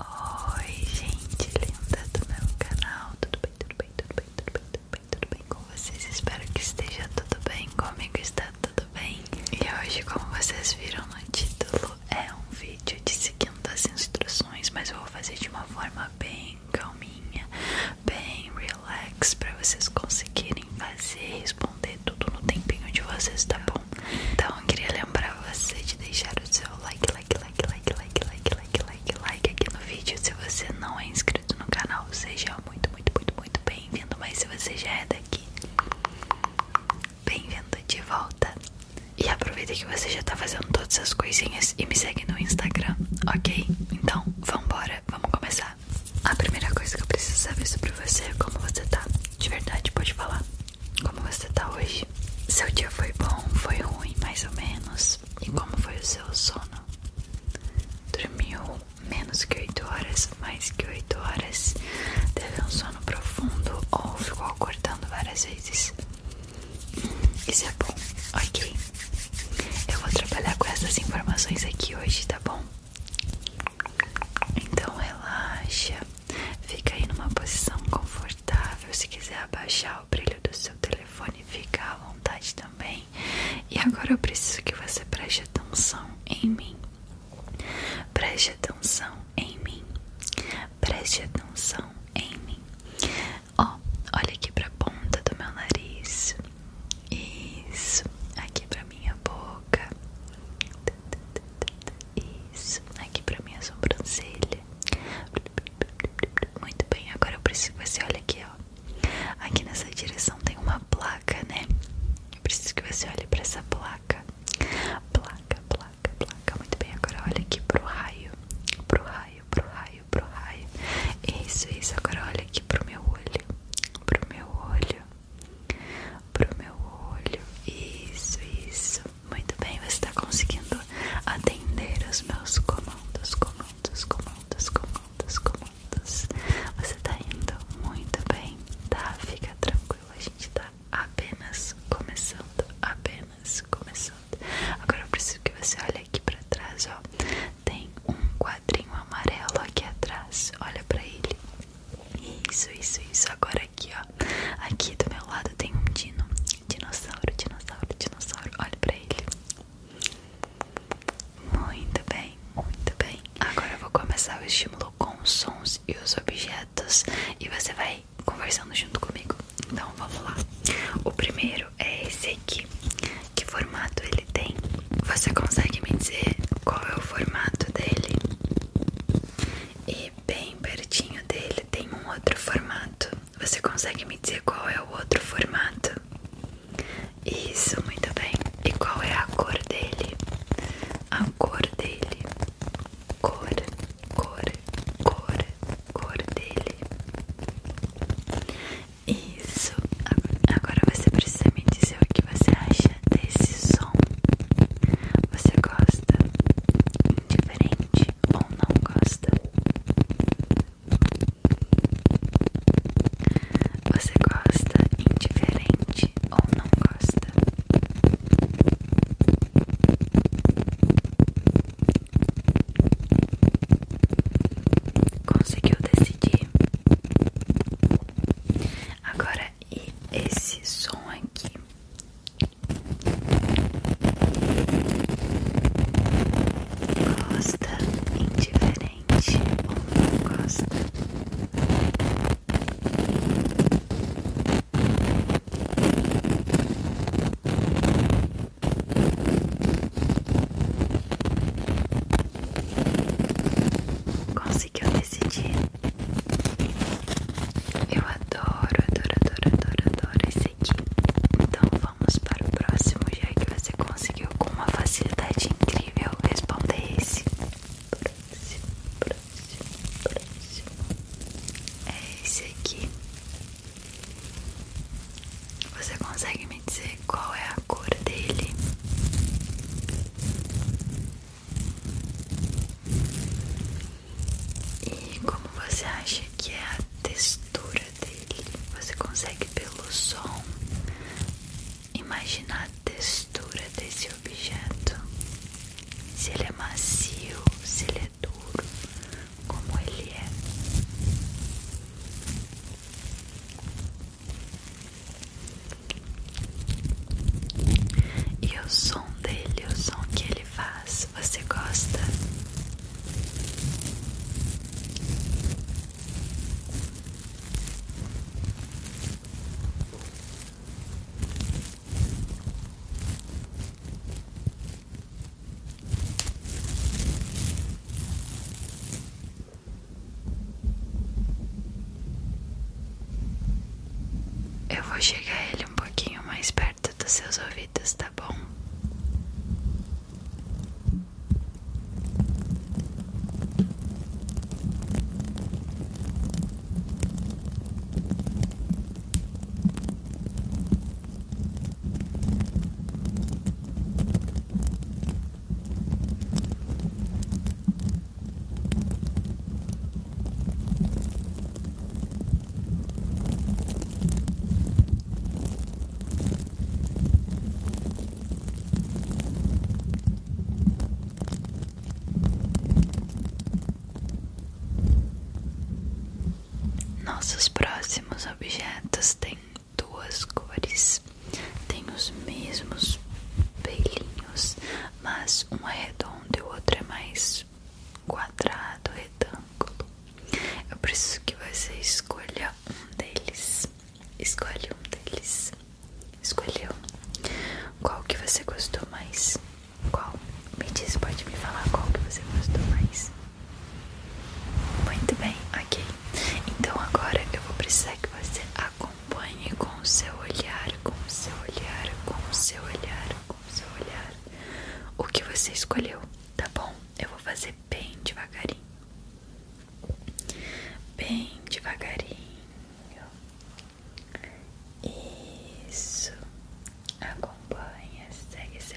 Oi gente linda do meu canal, tudo bem, tudo bem, tudo bem, tudo bem, tudo bem, tudo bem com vocês? Espero que esteja tudo bem, comigo está tudo bem E hoje como vocês viram no título é um vídeo de seguindo as instruções Mas eu vou fazer de uma forma bem calminha, bem relax para vocês conseguirem fazer e responder tudo no tempinho de vocês, tá bom? Então eu queria pra você de deixar o seu like, like, like, like, like, like, like, like, like aqui no vídeo. Se você não é inscrito no canal, seja muito, muito, muito, muito bem-vindo. Mas se você já é daqui, bem-vindo de volta. E aproveita que você já tá fazendo todas as coisinhas e me segue no Instagram, ok? Então, vambora, vamos começar. A primeira coisa que eu preciso saber sobre você é como você tá. De verdade, pode falar. Como você tá hoje? Seu dia foi bom, foi ruim, mais ou menos? E como foi o seu sono? Dormiu menos que 8 horas, mais que 8 horas? Teve um sono profundo ou ficou acordando várias vezes? Hum, isso é bom, ok. Eu vou trabalhar com essas informações aqui hoje, tá bom? Então relaxa, Fica aí numa posição confortável. Se quiser abaixar o brilho do seu telefone, fica à vontade também. E agora eu preciso que você preste atenção em mim. Preste atenção em mim. Preste atenção em mim. Ó, olha aqui pra ponta do meu nariz. Isso. Aqui pra minha boca. Isso, aqui pra minha sobrancelha. Muito bem, agora eu preciso que você olhe aqui, ó. Aqui nessa direção tem uma placa, né? Eu preciso que você olhe pra essa placa. Placa, placa, placa. Muito bem, agora olhe aqui pro raio. Pro raio, pro raio, pro raio. Isso, isso. Agora olhe aqui pro meu olho. Pro meu olho pro meu olho. Isso, isso. Muito bem, você está conseguindo atender os meus comandos, comandos, comandos, comandos, comandos. Você está indo muito bem, tá? Fica tranquilo, a gente está apenas começando, apenas começando. Agora eu preciso que você olhe aqui para trás, ó. Tem um quadrinho amarelo aqui atrás. Olha para ele. Isso, isso, isso. Agora aqui, ó. Aqui do meu lado tem um dino. Dinossauro, dinossauro, dinossauro. Olha pra ele. Muito bem, muito bem. Agora eu vou começar o estímulo com os sons e os objetos. E você vai conversando junto comigo. Então vamos lá. O primeiro é esse aqui. Que formato ele tem? Você consegue me dizer qual é o formato dele? E bem pertinho dele tem um outro formato. Você consegue me dizer qual é o outro formato? Isso, muito bem. E qual é a cor dele? A cor dele. Cor, cor, cor, cor dele. Isso. Agora você precisa me dizer o que você acha desse som. Você gosta? Indiferente ou não gosta? Você gosta? Indiferente ou não gosta? Conseguiu decidir? Agora, e esse som aqui? costa indiferente ou não gosta? Conseguiu decidir? Eu adoro, adoro, adoro, adoro, adoro esse aqui. Então vamos para o próximo, já que você conseguiu com uma facilidade incrível responder esse. Próximo, próximo, próximo. É esse aqui. Você consegue me dizer qual é a a cor dele. E como você acha que é a textura dele? Você consegue pelo som imaginar a textura desse objeto? Se ele é macio, se ele é duro, como ele é? E o som dele, o som que ele faz, você gosta? Eu vou chegar ele um pouquinho mais perto dos seus ouvidos, tá bom? Nossos próximos objetos têm duas cores, tem os mesmos pelinhos, mas um é redondo e o outro é mais quadrado, retângulo. Eu preciso que você escolha um deles. Escolhe um deles. Escolheu. Qual que você gostou mais? Qual? Me diz, pode me falar qual que você gostou mais? Muito bem, ok. Então agora eu vou precisar que você acompanhe com o seu olhar, com o seu olhar, com o seu olhar, com o seu olhar, o que você escolheu, tá bom? Eu vou fazer bem devagarinho. Bem devagarinho. Isso. Acompanha, segue seu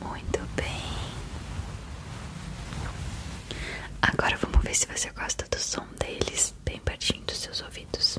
Muito bem. Agora vamos ver se você gosta do som deles, bem pertinho dos seus ouvidos.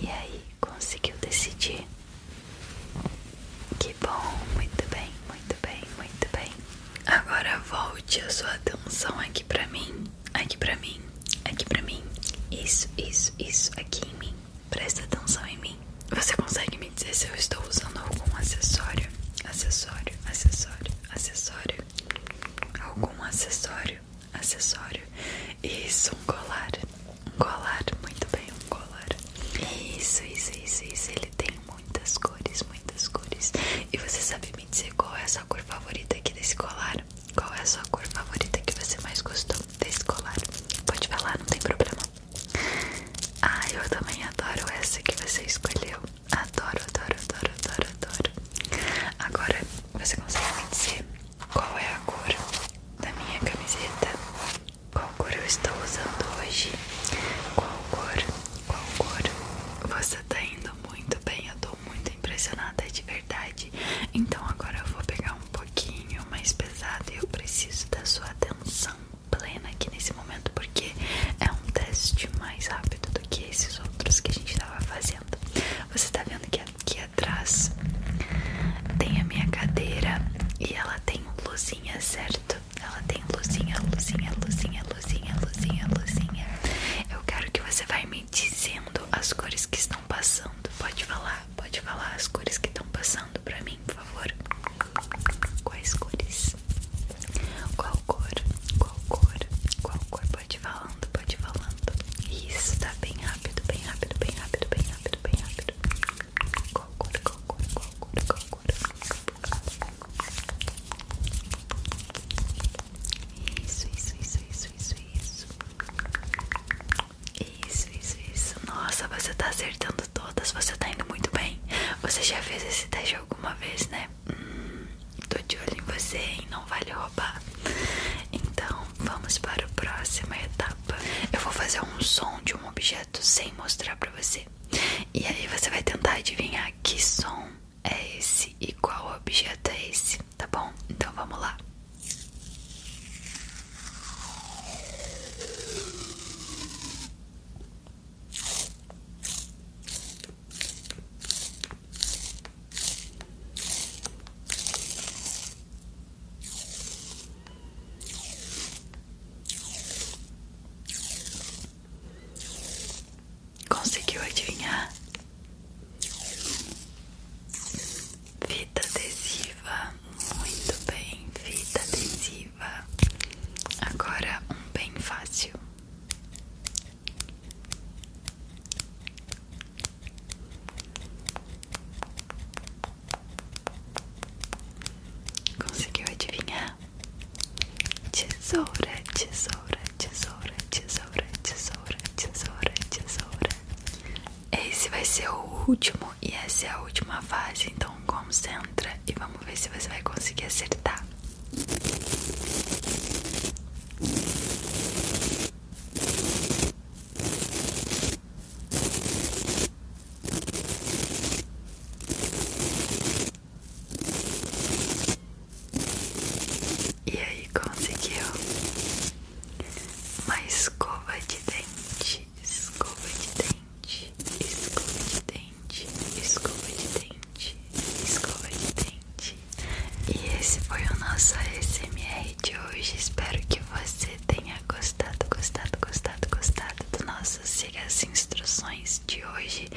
E aí, conseguiu decidir? Que bom, muito bem, muito bem, muito bem. Agora volte a sua atenção aqui pra mim, aqui pra mim, aqui pra mim. Isso, isso, isso, aqui em mim. Presta atenção em mim. Você consegue me dizer se eu estou usando algum acessório? Acessório, acessório, acessório, algum acessório, acessório, isso, um colar, um colar, muito bem, um colar, isso, isso, isso, isso, ele tem muitas cores, muitas cores, e você sabe me dizer qual é a sua cor favorita aqui desse colar? Qual é a sua cor favorita que você mais gostou desse colar? Pode falar, não tem problema. Ah, eu também adoro essa que você escolheu adoro, adoro, adoro, adoro, adoro. Agora você consegue me dizer qual é a cor da minha camiseta? Qual cor eu estou usando hoje? Qual cor? Qual cor? Você tá indo muito bem, eu tô muito impressionada de verdade. Então agora eu vou pegar um pouquinho mais pesado e eu preciso da sua atenção plena aqui nesse momento porque é um teste mais rápido que esses outros que a gente tava fazendo. Você tá vendo que aqui atrás tem a minha cadeira e ela tem luzinha, certo? Ela tem luzinha, luzinha, luzinha, luzinha, luzinha, luzinha. Eu quero que você vai me dizendo as cores que estão passando. Pode falar, pode falar as cores que estão passando pra mim, por favor. Quais cores? Qual cor? Qual cor? Qual cor? Pode ir falando, pode ir falando. Isso, tá bem rápido, bem rápido, bem rápido, bem rápido, bem rápido. Qual cor? Qual cor? Qual cor? Qual cor? Isso, isso, isso, isso, isso, isso. Isso, isso, isso. Nossa, você tá acertando todas. Você tá indo muito bem. Você já fez esse teste alguma vez, né? né? tô de olho em você e não vale roubar. Então vamos para a próxima etapa. Eu vou fazer um som de um objeto sem mostrar pra você. E aí você vai tentar adivinhar que som é esse e qual objeto é esse, tá bom? Então vamos lá. Conseguiu adivinhar? Fita adesiva, muito bem, fita adesiva. Agora um bem fácil. Conseguiu adivinhar? Tesoura, tesoura, tesoura, tesoura, tesoura, tesoura, tesoura. Esse vai ser o último e essa é a última fase, então então, concentra e vamos ver se você vai conseguir acertar. E aí conseguiu uma escova de dente escova de dente, escova de dente, escova de dente, escova de dente. E esse foi o nosso ASMR de hoje. Espero que você tenha gostado, gostado, gostado, gostado do nosso Siga as Instruções de hoje.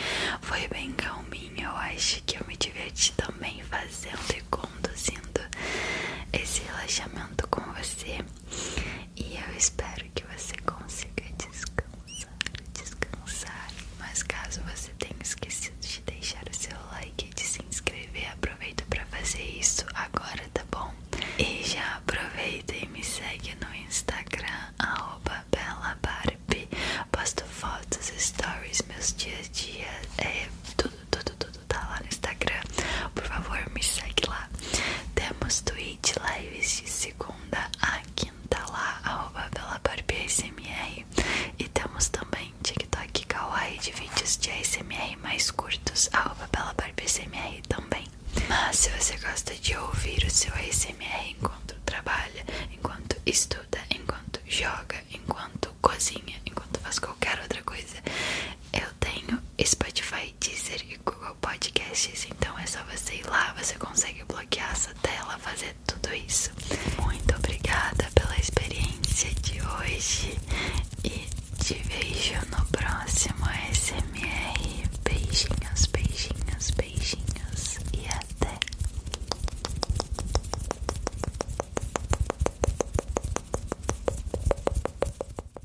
Foi bem calminho, eu acho que eu me diverti também fazendo e conduzindo esse relaxamento com você. E eu espero que você consiga descansar, descansar. Mas caso você tenha esquecido de deixar o seu like e de se inscrever, aproveita para fazer isso agora, tá bom? E já aproveita e me segue no Instagram @bellabarbie. Posto fotos, stories, meus dia a dia, é tudo, tudo, tudo tá lá no Instagram. Por favor, me segue lá. Temos Twitch lives de segunda a quinta lá, arroba pela ASMR. E temos também TikTok Kawaii de vídeos de ASMR mais curtos, arroba pela ASMR também. Mas se você gosta de ouvir o seu ASMR enquanto trabalha, enquanto estuda, enquanto joga, enquanto cozinha, enquanto faz qualquer outra coisa, eu tenho Spotify, Deezer Google Podcasts. Então é só você ir lá, você consegue bloquear essa tela, fazer tudo isso. Muito obrigada pela experiência de hoje e te vejo no próximo SMR. Beijinhos, beijinhos, beijinhos e até.